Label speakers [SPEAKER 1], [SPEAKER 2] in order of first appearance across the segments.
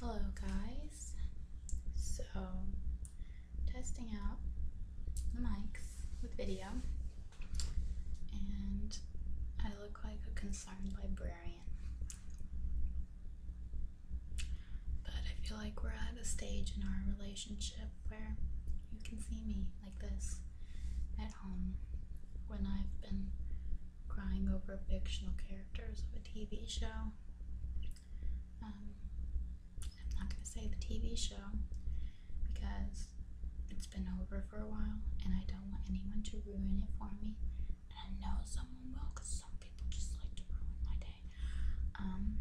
[SPEAKER 1] Hello guys, so testing out the mics with video and I look like a concerned librarian but I feel like we're at a stage in our relationship where you can see me like this at home when I've been crying over fictional characters of a TV show. Um, I'm not going to say the TV show because it's been over for a while and I don't want anyone to ruin it for me. And I know someone will because some people just like to ruin my day. Um,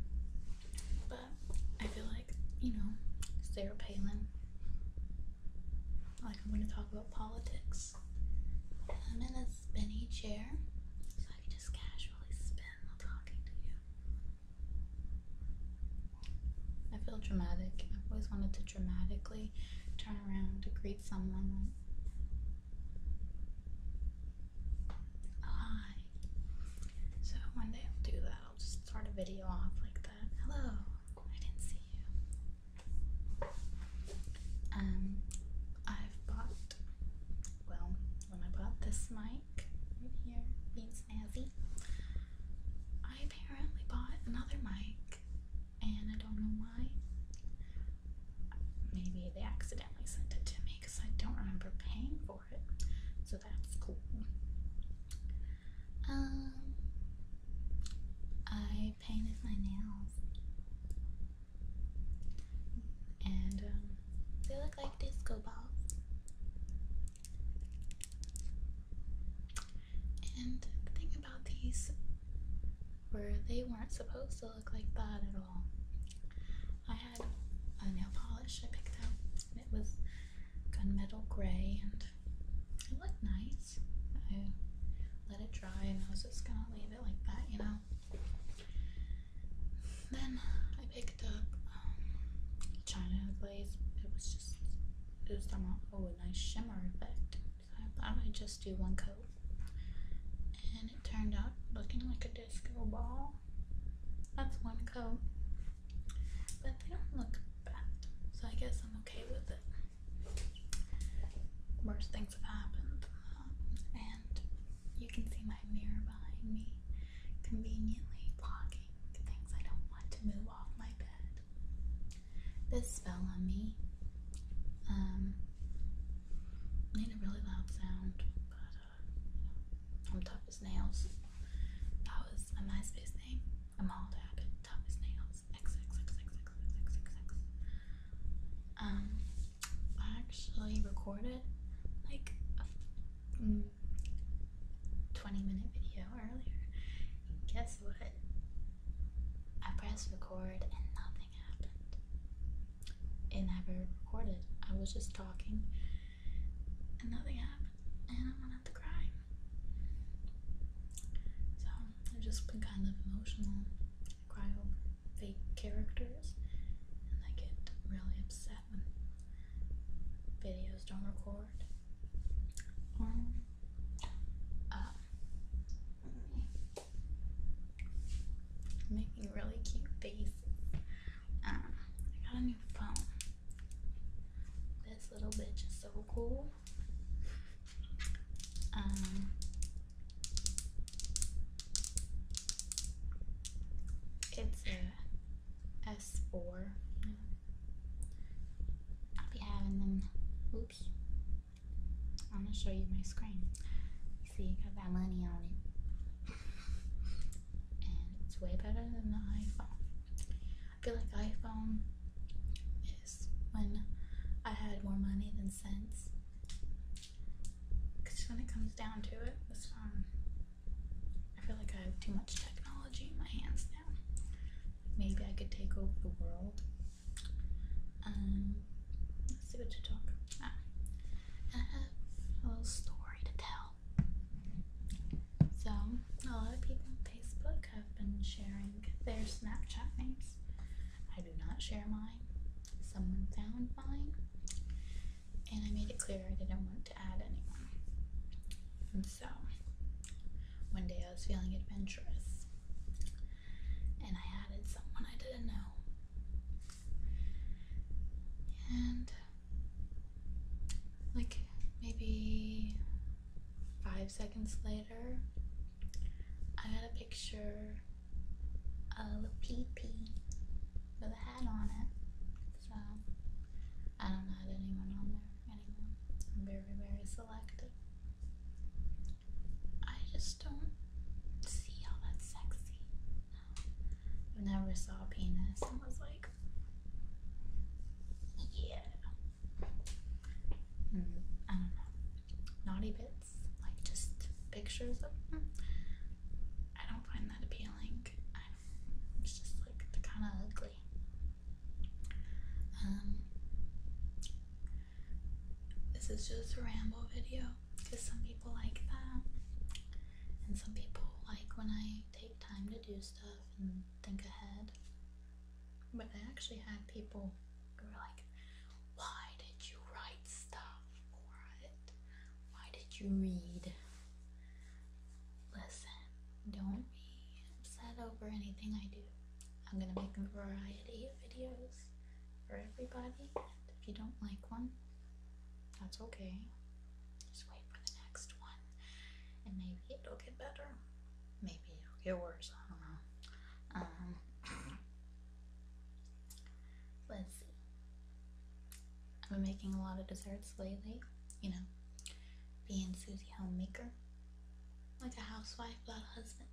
[SPEAKER 1] but I feel like, you know, Sarah Palin, like I'm going to talk about politics. I'm in a spinny chair, so I can just casually spin while talking to you. I feel dramatic. I've always wanted to dramatically turn around to greet someone. Hi. So one day I'll do that. I'll just start a video off like that. Hello. I didn't see you. Um, I've bought. Well, when I bought this mic right here, being snazzy, I apparently bought another mic, and I don't know why. Maybe they accidentally sent it to me because I don't remember paying for so that's cool. Um I painted my nails. And um, they look like disco balls. And the thing about these were they weren't supposed to look like that at all. I had a nail polish I picked up, and it was gunmetal gray, and it looked nice. I let it dry, and I was just gonna leave it like that, you know. Then I picked up um, China glaze. It was just it was somewhat oh a nice shimmer effect. I thought I'd just do one coat, and it turned out looking like a disco That's one coat. But they don't look bad. So I guess I'm okay with it. Worse things have happened. and you can see my mirror behind me conveniently blocking things I don't want to move off my bed. This spell on me um, made a really loud sound, but I'm tough as nails. That was a MySpace thing. I'm all dad. Tough as nails. XXXXXXXX. Um, I actually recorded like a mm, 20 minute video earlier. guess what? I pressed record and nothing happened and have recorded. I was just talking and nothing happened, and I wanted to cry. So I've just been kind of emotional. crying over fake characters, and I get really upset when videos don't record. Um, uh, making really cute faces. Um, I got a new phone. This little bitch is so cool. Um, it's a S4. I'll be having them. Oops. I'm gonna show you my screen. You see, got that money on it. And it's way better than the iPhone. I feel like iPhone is when I had more money than sense. Because when it comes down to it, this phone, I feel like I have too much technology in my hands now. Maybe I could take over the world. Um, let's see what to talk Ah. Uh, I uh, a little story to tell. So, a lot of people on Facebook have been sharing their Snapchat names. I do not share mine. Someone found mine, and I made it clear I didn't want to add anyone. And so, one day I was feeling adventurous and I added someone I didn't know. And like maybe five seconds later, I had a picture of a pee with a hat on it. So I don't add anyone on there anymore. I'm very, very selective. I just don't see how that's sexy. I never saw a penis and was like, yeah. Hmm, I don't know. Naughty bits, like just pictures of them. I don't find that appealing. I do it's just like they're kind of ugly. Um, this is just a ramble video because some people like that, and some people like when I take time to do stuff and think ahead. But I actually had people who were like, Why did you write stuff for Why did you read? Listen, don't be upset over anything I do. I'm gonna make a variety of videos for everybody. if you don't like one, that's okay. Just wait for the next one, and maybe it'll get better. Maybe it'll get worse. I don't know. Um, let's see. I've been making a lot of desserts lately. You know, being Susie homemaker, like a housewife, without husband.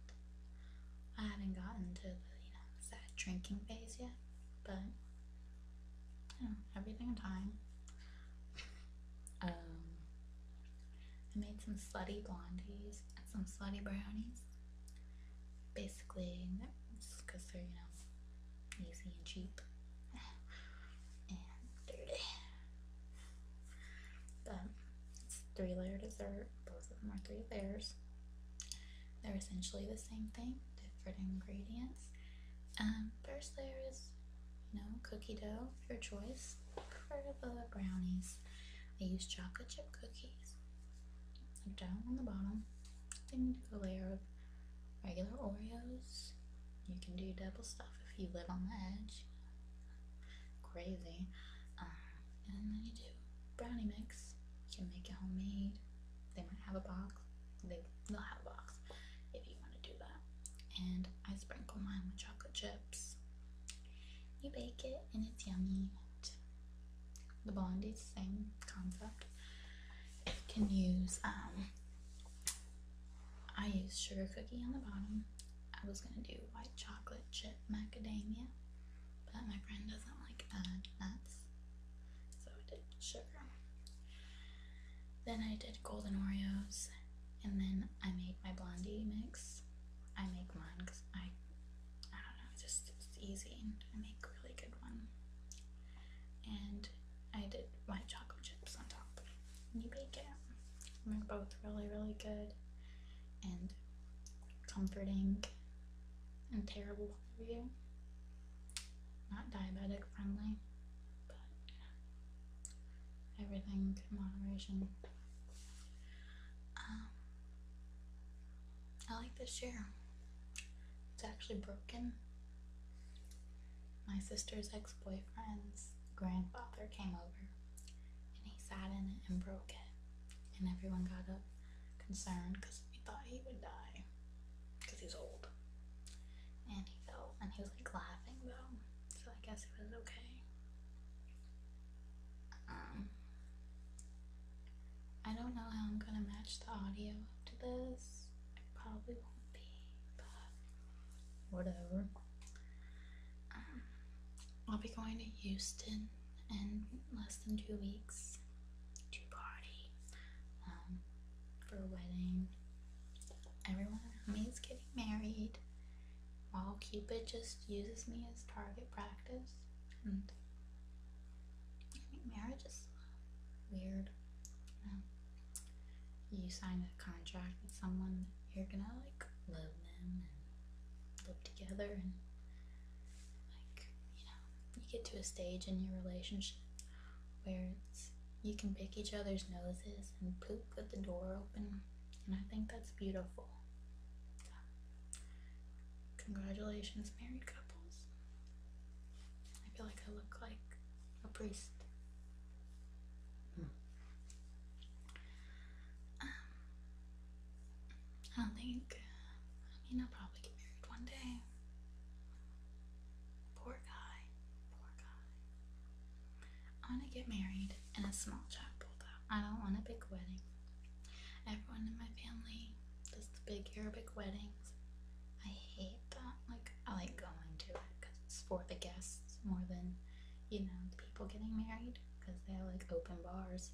[SPEAKER 1] I haven't gotten to the you know sad drinking phase yet, but everything in time. um, I made some slutty blondies and some slutty brownies. Basically, because they're you know easy and cheap and dirty, but. It's three layer dessert. Both of them are three layers. They're essentially the same thing, different ingredients. Um, first layer is, you know, cookie dough, your choice. For the brownies, I use chocolate chip cookies. Down on the bottom, then you do a layer of regular Oreos. You can do double stuff if you live on the edge. Crazy. Um, and then you do brownie mix. You can make it homemade. They might have a box. They, they'll have a box if you want to do that. And I sprinkle mine with chocolate chips. You bake it and it's yummy. The bond is the same concept. You can use, um, I use sugar cookie on the bottom I was gonna do white chocolate chip macadamia, but my friend doesn't like uh, nuts, so I did sugar. Then I did golden Oreos, and then I made my blondie mix. I make mine because I, I don't know, it's just it's easy, and I make really good one. And I did white chocolate chips on top. you bake it. And they're both really, really good and comforting and terrible for you. Not diabetic friendly, but everything in moderation. Um, I like this chair. It's actually broken. My sister's ex boyfriend's grandfather came over and he sat in it and broke it. And everyone got up concerned because he thought he would die because he's old. And he fell, and he was like laughing though, so I guess it was okay. Um, I don't know how I'm gonna match the audio to this. I probably won't be, but whatever. Um, I'll be going to Houston in less than two weeks to party um, for a wedding. Everyone around me is getting married while Cupid just uses me as target practice. marriage is weird. Um, you, sign a contract with someone, you're gonna like love them live together and like you know you get to a stage in your relationship where it's you can pick each other's noses and poop with the door open and I think that's beautiful. congratulations, married couples. I feel like I look like a priest. Hmm. Um, I don't think. I mean, I'll probably get married one day. Poor guy. Poor guy. I want to get married in a small chapel, though. I don't want a big wedding. Everyone in my family does big Arabic weddings. I hate that. Like, I like going to it because it's for the guests more than you know, people getting married because they have like open bars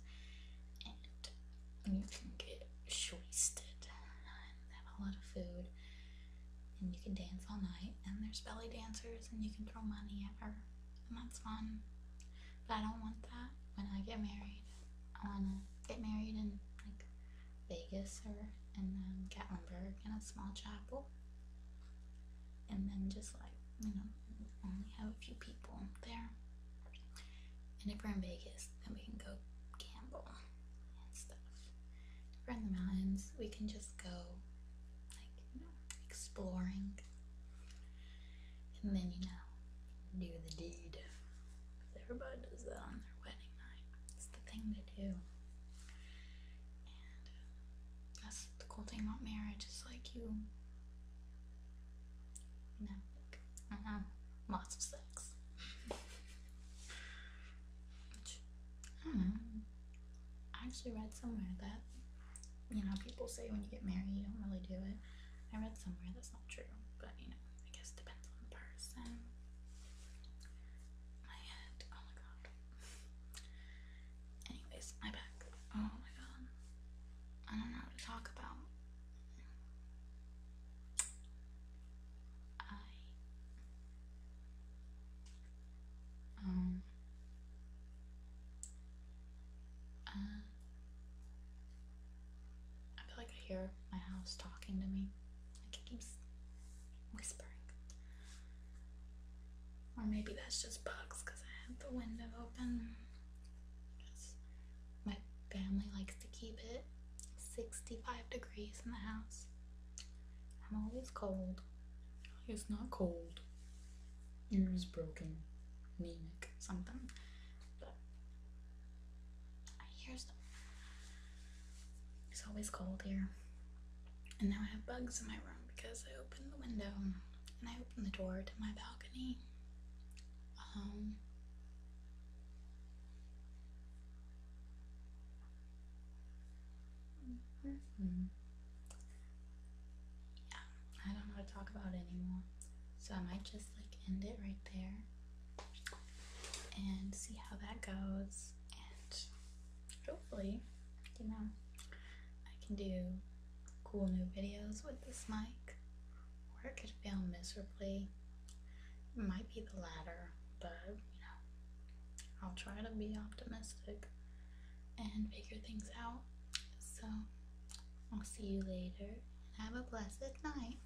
[SPEAKER 1] and you can get shwasted and have a lot of food and you can dance all night and there's belly dancers and you can throw money at her and that's fun. But I don't want that when I get married. I wanna get married in like Vegas or in um, Gatlinburg in a small chapel and then just like, you know, only have a few people there. And if we're in Vegas, then we can go gamble and stuff. Around the mountains, we can just go, like, you know, exploring. And then, you know, do the deed. Everybody does that on their wedding night. It's the thing to do that's the cool thing about marriage is like you, you know, uh-huh, lots of sex. Which, I actually read somewhere that, you know, people say when you get married you don't really do it. I read somewhere that's not true, but you know, I guess depends on the person. My head, oh my god. Anyways, my back. Oh my god. I don't know to talk about. I um uh, I feel like I hear my house talking to me whispering. Or maybe that's just bugs because I have the window open. my family likes to keep it 65 degrees in the house. I'm always cold. It's not cold. Ear is broken. Anemic. Something. But I hear stuff. It's always cold here. And now I have bugs in my room because I opened the window and I opened the door to my balcony. Um, yeah, I don't know to talk about anymore. So I might just like end it right there and see how that goes and hopefully, you know, I can do cool new videos with this mic, or it could fail miserably. It might be the latter, but you know, I'll try to be optimistic and figure things out. So, I'll see you later and have a blessed night.